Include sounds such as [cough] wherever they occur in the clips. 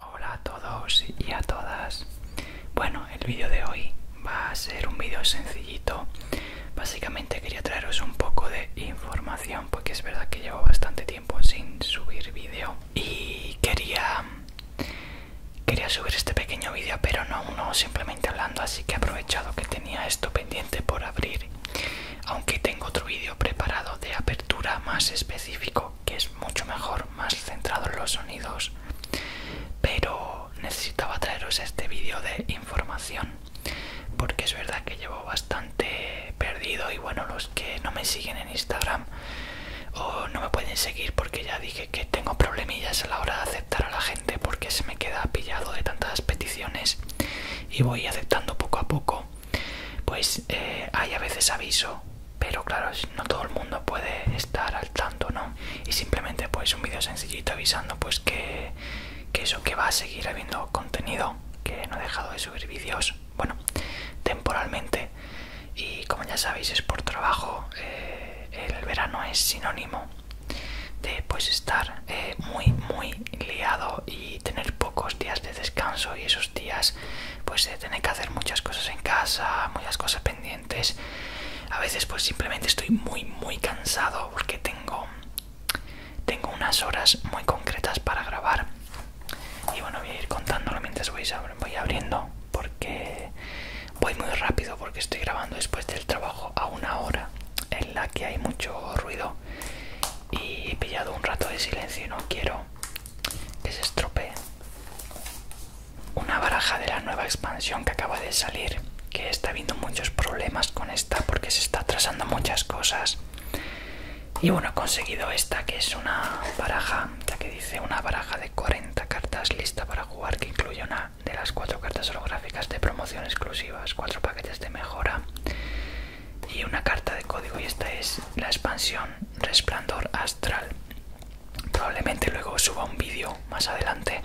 Hola a todos y a todas. Bueno, el vídeo de hoy va a ser un vídeo sencillito. Básicamente quería traeros un poco de información porque es verdad que llevo bastante tiempo sin subir vídeo y quería subir este pequeño vídeo, pero no uno simplemente hablando, así que he aprovechado que tenía esto pendiente por abrir. Aunque tengo otro vídeo preparado de apertura más específico que es mucho mejor, más centrado en los sonidos. Pero necesitaba traeros este vídeo de información porque es verdad que llevo bastante perdido y bueno, los que no me siguen en Instagram o no me pueden seguir porque ya dije que tengo problemillas a la hora de aceptar a la gente porque se me queda pillado de tantas peticiones y voy aceptando poco a poco pues eh, hay a veces aviso pero claro no todo el mundo puede estar al tanto no y simplemente pues un vídeo sencillito avisando pues que, eso que va a seguir habiendo contenido que no he dejado de subir vídeos bueno temporalmente y como ya sabéis es por trabajo eh, el verano es sinónimo de pues estar eh, muy muy liado y tener pocos días de descanso y eso días pues de tener que hacer muchas cosas en casa, muchas cosas pendientes. A veces pues simplemente estoy muy muy cansado porque tengo tengo unas horas muy concretas para grabar. Y bueno, voy a ir contándolo mientras voy, voy abriendo porque voy muy rápido porque estoy grabando después del trabajo a una hora en la que hay mucho ruido y he pillado un rato de silencio y no quiero es que una baraja de la nueva expansión que acaba de salir que está habiendo muchos problemas con esta porque se está atrasando muchas cosas y bueno he conseguido esta que es una baraja Ya que dice una baraja de 40 cartas lista para jugar que incluye una de las cuatro cartas holográficas de promoción exclusivas cuatro paquetes de mejora y una carta de código y esta es la expansión resplandor astral probablemente luego suba un vídeo más adelante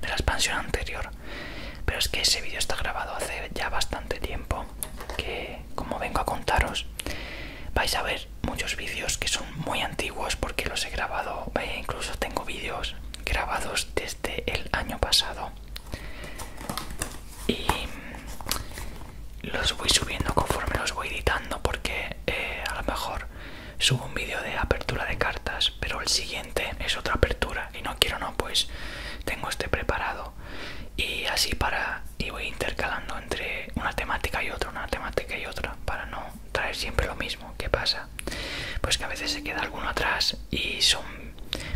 de la expansión anterior pero es que ese vídeo está grabado hace ya bastante tiempo que como vengo a contaros vais a ver muchos vídeos que son muy antiguos porque los he grabado e incluso tengo vídeos grabados desde el año pasado y los voy subiendo conforme los voy editando porque eh, a lo mejor subo un vídeo de apertura de cartas pero el siguiente es otra apertura y no quiero no pues tengo este preparado y así para y voy intercalando entre una temática y otra una temática y otra para no traer siempre lo mismo ¿qué pasa? pues que a veces se queda alguno atrás y son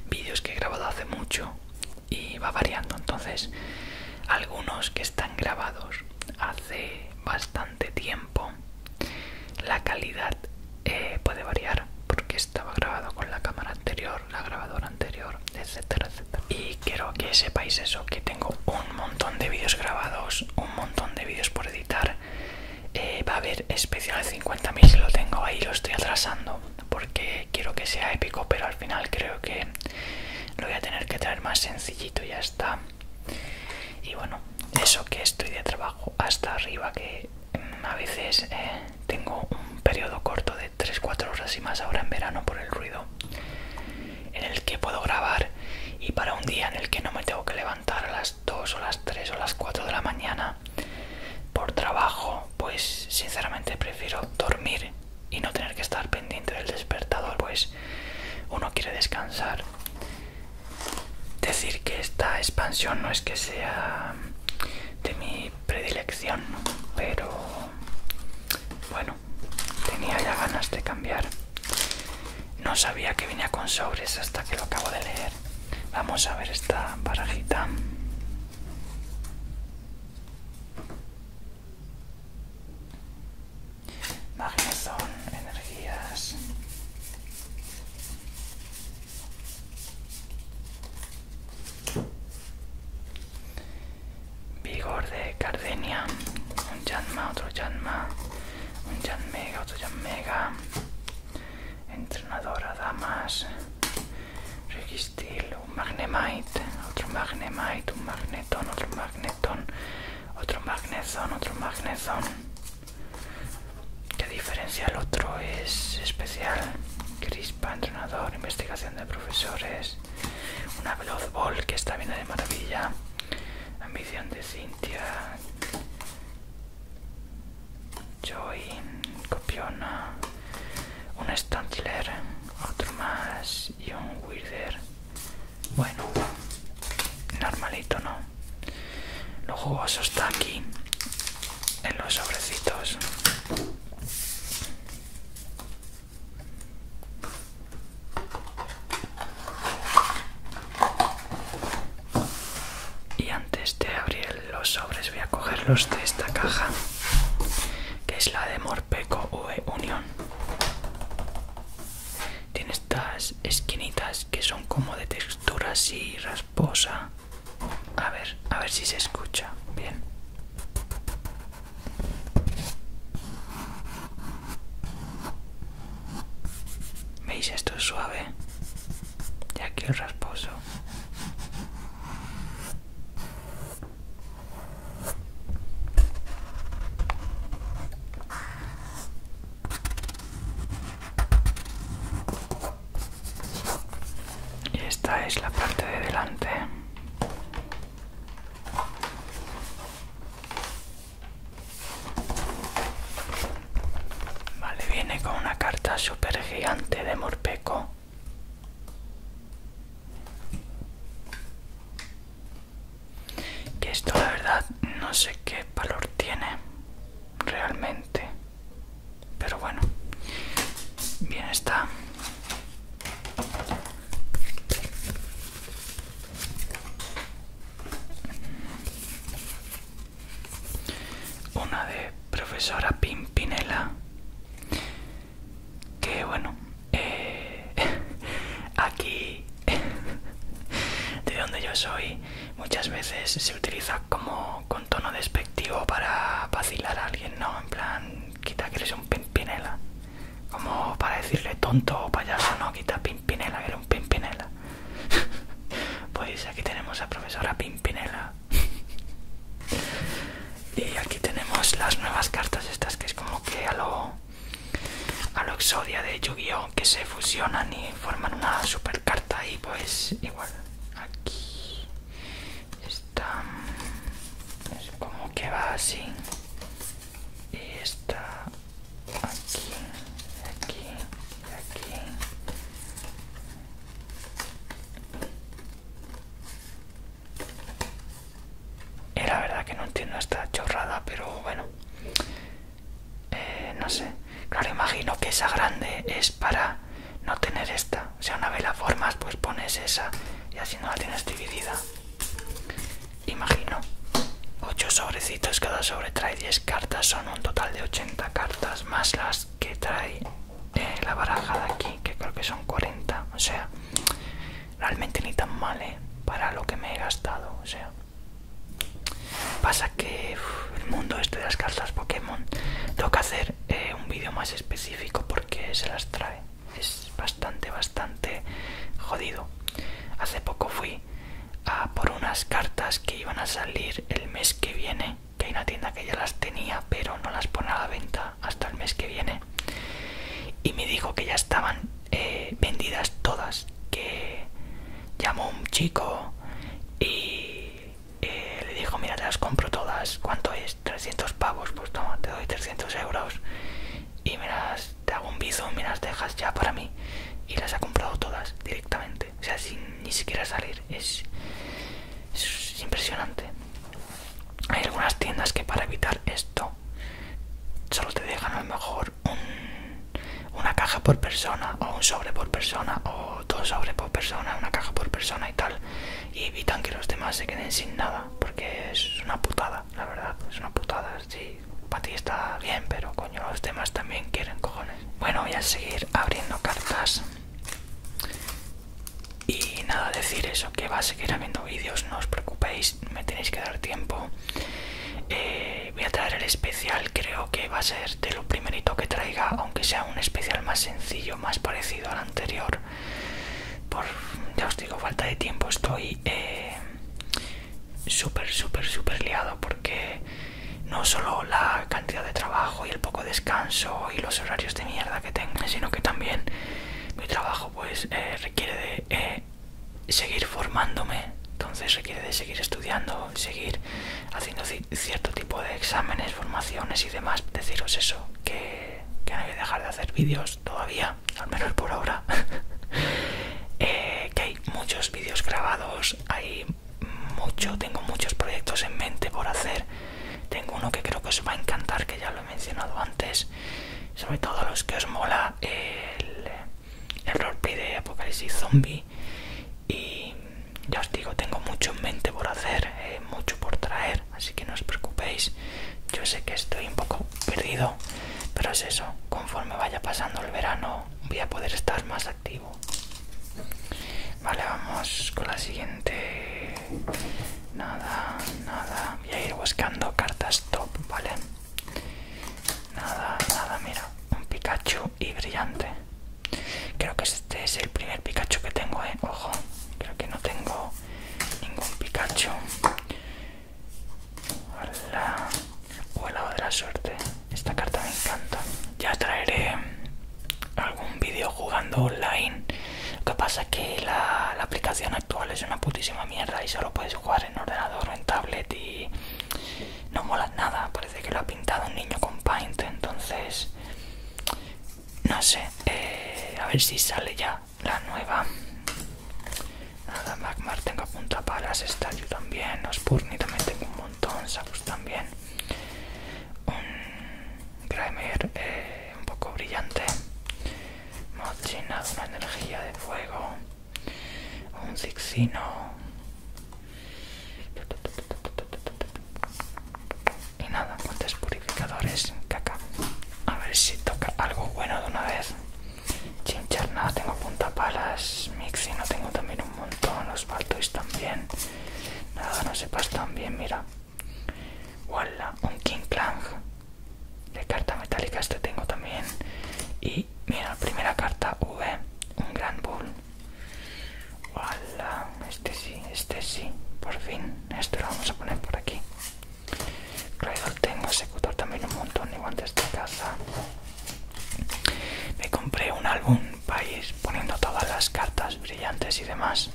vídeos que he grabado hace mucho y va variando. Entonces, algunos que están grabados hace bastante tiempo, la calidad eh, puede variar porque estaba grabado con la cámara anterior, la grabadora anterior, etc, etcétera. Y quiero que sepáis eso, que tengo un montón de vídeos grabados, un montón de vídeos por editar. Eh, va a haber especial 50.000, lo tengo ahí, lo estoy atrasando porque quiero que sea épico pero al final creo que lo voy a tener que traer más sencillito y ya está y bueno eso que estoy de trabajo hasta arriba que mm, a veces eh, tengo un periodo corto de 3-4 horas y más ahora en verano por el ruido en el que puedo grabar y para un día en el que no me tengo que levantar a las 2 o las 3 o las 4 de la mañana por trabajo pues sinceramente prefiero dormir y no tener que estar pendiente del despertador, pues uno quiere descansar. Decir que esta expansión no es que sea de mi predilección, pero bueno, tenía ya ganas de cambiar. No sabía que venía con sobres hasta que lo acabo de leer. Vamos a ver esta barajita son energías. Vigor de Cardenia, un Yanma, otro Yanma, un Yanmega, otro mega, entrenadora, damas, Registil, un Magnemite, otro Magnemite, un Magnetón, otro Magnetón, otro magneto otro magnesón. ¿Qué diferencia el otro es especial? Crispa, entrenador, investigación de profesores, una Veloz Ball que está viendo de maravilla, ambición de Cintia, Joy, Copiona un Stantiler, otro más y un Weirder. Bueno, normalito, ¿no? los jugoso está aquí en los sobrecitos. Y antes de abrir los sobres voy a cogerlos de esta caja que es la de Morpeco V Unión. Tiene estas esquinitas que son como de textura así rasposa. A ver, a ver si se escucha bien. ¿Veis? Esto es suave. Y aquí el rasposo. Y esta es la parte de delante. Vale, viene con una carta super gigante de Morpeco que esto la verdad no sé qué valor tiene realmente. Pero bueno, bien está. Una de profesora Pimpinela que bueno eh, [laughs] aquí [laughs] de donde yo soy muchas veces se utiliza como con tono despectivo para vacilar a alguien no en plan quita que eres un pimpinela como para decirle tonto o payaso no quita pimpinela que era un pimpinela [laughs] pues aquí tenemos a profesora pimpinela [laughs] y aquí tenemos las nuevas cartas estas que es como que a lo a lo exodia de Yu-Gi-Oh que se fusionan y forman una super carta y pues igual aquí está es como que va así y está aquí aquí aquí era eh, la verdad que no entiendo esta chorrada, pero bueno. Eh, no sé. Claro, imagino que esa grande es para no tener esta. O sea, una vez la formas, pues pones esa y así no la tienes dividida. Imagino. 8 sobrecitos, cada sobre trae 10 cartas, son un total de 80 cartas más las que trae eh, la baraja de aquí, que creo que son 40. O sea, realmente ni tan mal, eh, Para lo que me he gastado, o sea. Pasa que el mundo este de las cartas Pokémon, tengo que hacer eh, un vídeo más específico porque se las trae. Es bastante, bastante jodido. Hace poco fui a por unas cartas que iban a salir el mes que viene que hay una tienda que ya las tenía pero no las pone a la venta hasta el mes que viene y me dijo que ya estaban eh, vendidas todas que llamó un chico y eh, le dijo mira te las compro todas cuánto es 300 pavos pues toma te doy 300 euros y me las te hago un bizo me las dejas ya para mí y las ha comprado todas directamente o sea sin ni siquiera salir es, es impresionante hay algunas tiendas que para evitar esto solo te dejan a lo mejor una caja por persona o un sobre por persona o dos sobres por persona, una caja por persona y tal y evitan que los demás se queden sin nada porque es una putada, la verdad, es una putada, sí, para ti está bien pero coño los demás también quieren cojones. Bueno voy a seguir abriendo cartas y nada, decir eso, que va a seguir habiendo vídeos, no os preocupéis, me tenéis que dar tiempo. Eh, voy a traer el especial, creo que va a ser de lo primerito que traiga, aunque sea un especial más sencillo, más parecido al anterior. Por, ya os digo, falta de tiempo, estoy eh, súper, súper, súper liado porque no solo la cantidad de trabajo y el poco descanso y los horarios de mierda que tengo, sino que también mi trabajo pues eh, requiere de eh, seguir formándome, entonces requiere de seguir estudiando, seguir haciendo cierto tipo de exámenes, formaciones y demás. Deciros eso, que, que no voy dejar de hacer vídeos todavía, al menos por ahora. [laughs] Eh, que hay muchos vídeos grabados, hay mucho, tengo muchos proyectos en mente por hacer tengo uno que creo que os va a encantar, que ya lo he mencionado antes, sobre todo los que os mola el, el roleplay de Apocalipsis Zombie. Y ya os digo, tengo mucho en mente por hacer, eh, mucho por traer, así que no os preocupéis. Yo sé que estoy un poco perdido, pero es eso, conforme vaya pasando el verano voy a poder estar más activo. Vale, vamos con la siguiente Nada, nada. Voy a ir buscando cartas top, ¿vale? Nada, nada, mira. Un Pikachu y brillante. Creo que este es el primer Pikachu que tengo, ¿eh? Ojo, creo que no tengo ningún Pikachu. lado de la suerte. Esta carta me encanta. Ya traeré algún vídeo jugando online. Lo que pasa es que la, aplicación actual es una putísima mierda y solo puedes jugar en ordenador o en tablet y no mola nada. Parece que lo ha pintado un niño con Paint, entonces no sé. Eh, a ver si sale ya la nueva. Nada, Magmar tengo para las yo también, ospurni también tengo un montón, Sabus también. Grimer eh, un poco brillante. nada, una energía de fuego. Un Zixino. Y nada, ¿cuántos purificadores. Caca. A ver si toca algo bueno de una vez. Chinchar, nada, tengo puntapalas. Mixi, no tengo también un montón. Los Baltois también. Nada, no sepas también, mira. Voila, un King clan de carta metálica, este tengo también. Y mira, primera carta V, un Grand Bull. este sí, este sí, por fin. Esto lo vamos a poner por aquí. tengo ejecutor también un montón de guantes de casa. Me compré un álbum país poniendo todas las cartas brillantes y demás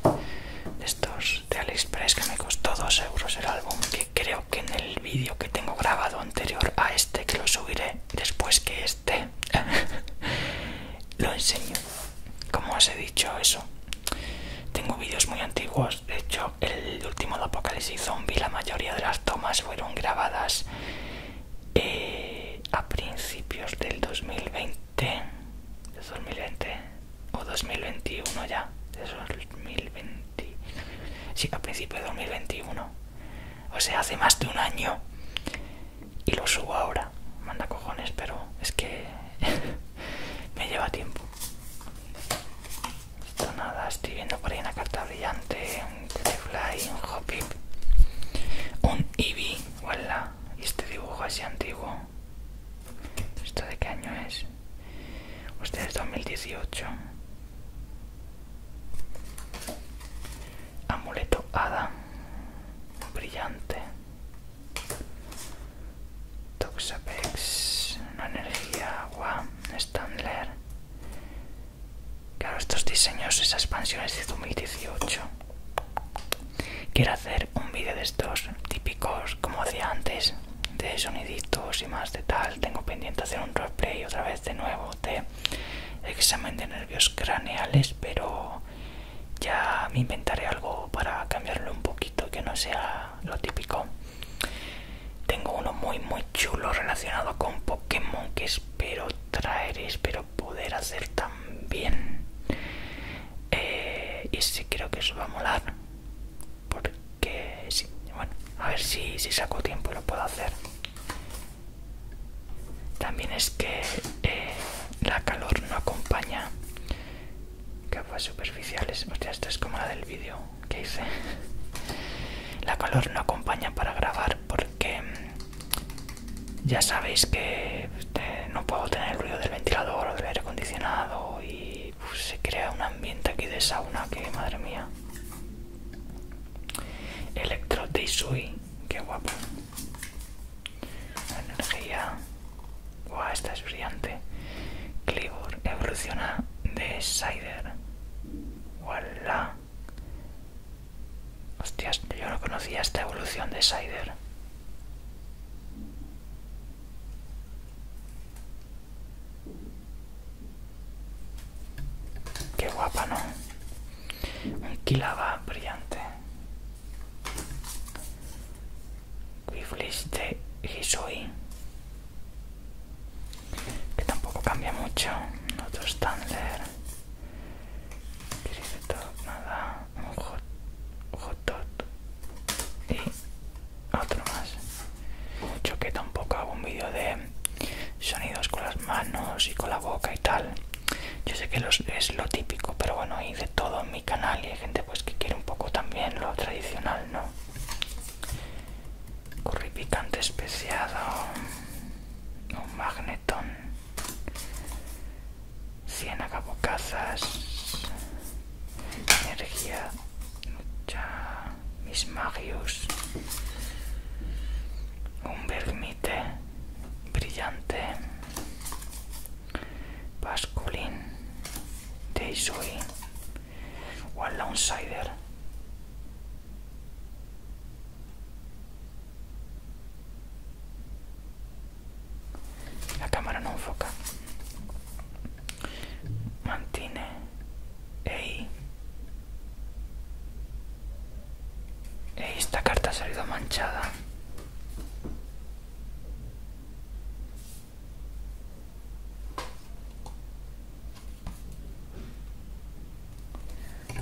de estos de AliExpress que me costó 2 euros el álbum que creo que en el vídeo que tengo grabado anterior a este que lo subiré después que este [laughs] lo enseño como os he dicho eso tengo vídeos muy antiguos de hecho el último de apocalipsis zombie la mayoría de las tomas fueron grabadas eh, a principios del 2020 ¿De 2020 o 2021 ya ¿De 2020 sí a principios de 2021 o sea hace más de un año y lo subo ahora manda cojones pero es que [laughs] me lleva tiempo esto nada estoy viendo por ahí una carta brillante un telefly un Hopip un Eevee, o ¿Y este dibujo así antiguo esto de qué año es usted es 2018 amuleto hada brillante Toxapex una energía agua Standler claro estos diseños esas expansiones de 2018 Quiero hacer un vídeo de estos típicos como hacía antes, de soniditos y más de tal. Tengo pendiente hacer un roleplay otra vez de nuevo de examen de nervios craneales, pero ya me inventaré algo para cambiarlo un poquito, que no sea lo típico. Tengo uno muy muy chulo relacionado con Pokémon que espero traer, espero poder hacer también eh, y sí creo que eso va a molar porque sí, bueno a ver si, saco tiempo y lo puedo hacer también es que eh, la calor no acompaña capas superficiales hostia esta es como la del vídeo que hice [laughs] la calor no acompaña para grabar porque mm, ya sabéis que este, no puedo tener el ruido del ventilador o del aire acondicionado y se crea un ambiente aquí de sauna que madre mía. Electro que qué guapo. Energía. Guau, esta es brillante. Clibor evoluciona de Cider Voilà. Hostias, yo no conocía esta evolución de Sider. Qué guapa, ¿no? Un quilaba brillante. Quiflis de Hisui. Que tampoco cambia mucho. Otro Standler nada, un hot, y otro más. Yo que tampoco hago un vídeo de sonidos con las manos y con la boca y tal. Yo sé que es lo típico, pero bueno, y de todo en mi canal y hay gente pues que quiere un poco también lo tradicional, ¿no? Curry picante especiado, un magnetón cien casas Energía, Mis Magius, Un Vermite, Brillante, Basculín, Deisui, One A cámara non foca. Mantine. Ei. E esta carta ha salido manchada.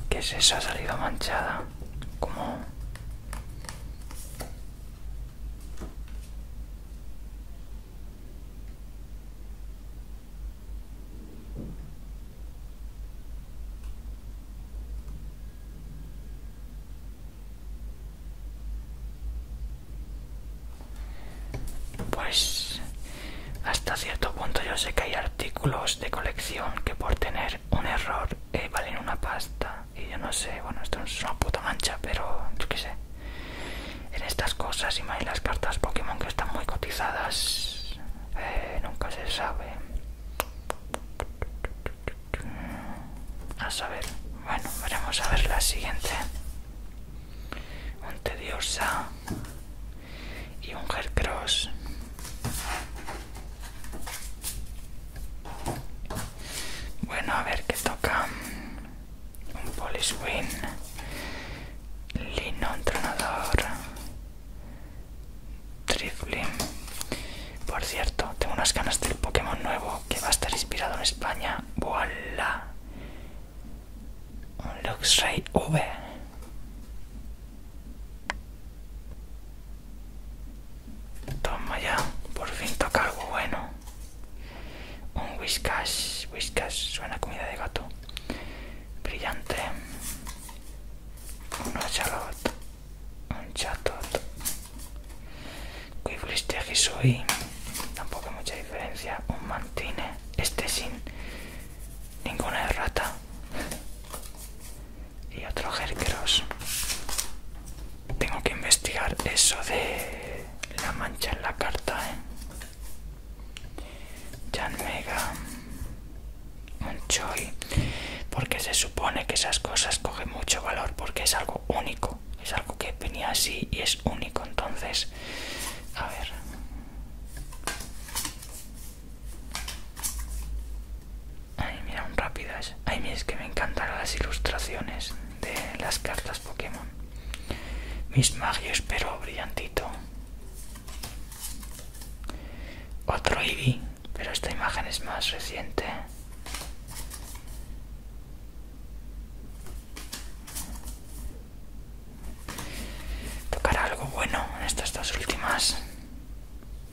¿Qué es eso? Ha salido manchada. Como... Pues hasta cierto punto yo sé que hay artículos de colección que por tener un error vale eh, valen una pasta y yo no sé, bueno, esto es una puta mancha, pero yo qué sé. En estas cosas y más en las cartas Pokémon que están muy cotizadas, eh, nunca se sabe. A saber, bueno, veremos a ver la siguiente. monte tediosa y un Hercross bueno a ver qué toca un Poliswin Lino Entrenador Triflim por cierto tengo unas ganas del Pokémon nuevo que va a estar inspirado en España voilà un Luxray V Toma ya, por fin toca algo bueno. Un Whiskash, Whiskash, suena comida de gato. Brillante. un charlotte. Un chatot. Quifliste soy Tampoco mucha diferencia. Un mantine. Este sin ninguna errata y otro Hercross. Tengo que investigar eso de la mancha en la carta, ¿eh? Jan Mega, un Choi, porque se supone que esas cosas cogen mucho valor porque es algo único, es algo que venía así y es único. Entonces, a ver, Ay, mira, un rápidas. Ay, mira, es que me encantan las ilustraciones de las cartas Pokémon. Mis magios, pero brillantito. Otro Eevee, pero esta imagen es más reciente. Tocará algo bueno en estas dos últimas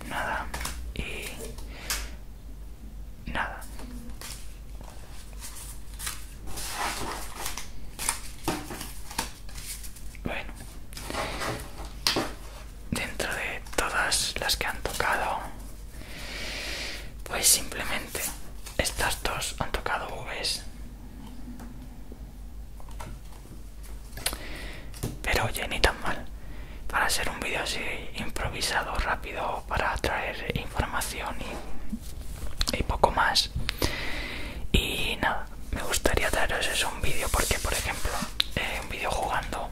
nada y nada bueno dentro de todas las que han tocado pues simplemente estas dos han tocado ¿ves? Pero oye, ni tan mal. Para hacer un vídeo así improvisado, rápido, para traer información y, poco más. Y nada, me gustaría traeros un vídeo porque, por ejemplo, eh, un vídeo jugando.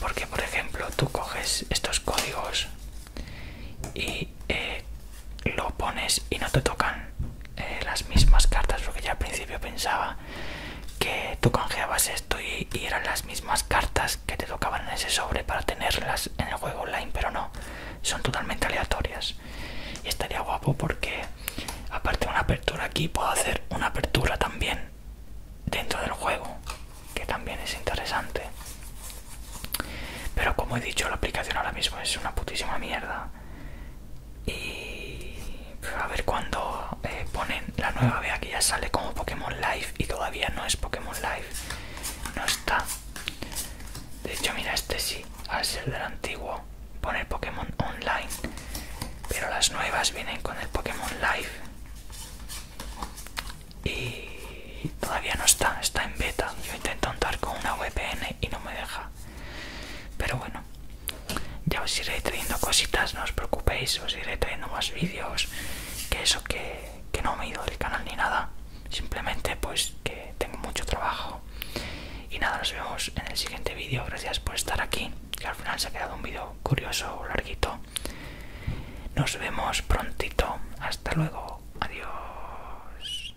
Porque, por ejemplo, tú coges estos códigos y eh, lo pones y no te tocan eh, las mismas cartas porque ya al principio pensaba que tú canjeabas esto y, y eran las mismas cartas que te tocaban en ese sobre para tenerlas en el juego online pero no son totalmente aleatorias y estaría guapo porque aparte de una apertura aquí puedo hacer una apertura también dentro del juego que también es interesante pero como he dicho la aplicación ahora mismo es una putísima mierda y a ver cuando eh, ponen la nueva vea que ya sale como Pokémon Live y todavía no es Pokémon Live no está de hecho mira este sí al ser del antiguo pone Pokémon Online pero las nuevas vienen con el Pokémon Live y todavía no está está en beta yo intento entrar con una VPN y no me deja pero bueno ya os iré trayendo cositas no os preocupéis os iré trayendo más vídeos que eso que, que no me he ido del canal ni nada simplemente pues que tengo mucho trabajo y nada nos vemos en el siguiente vídeo gracias por estar aquí que al final se ha quedado un vídeo curioso larguito nos vemos prontito hasta luego adiós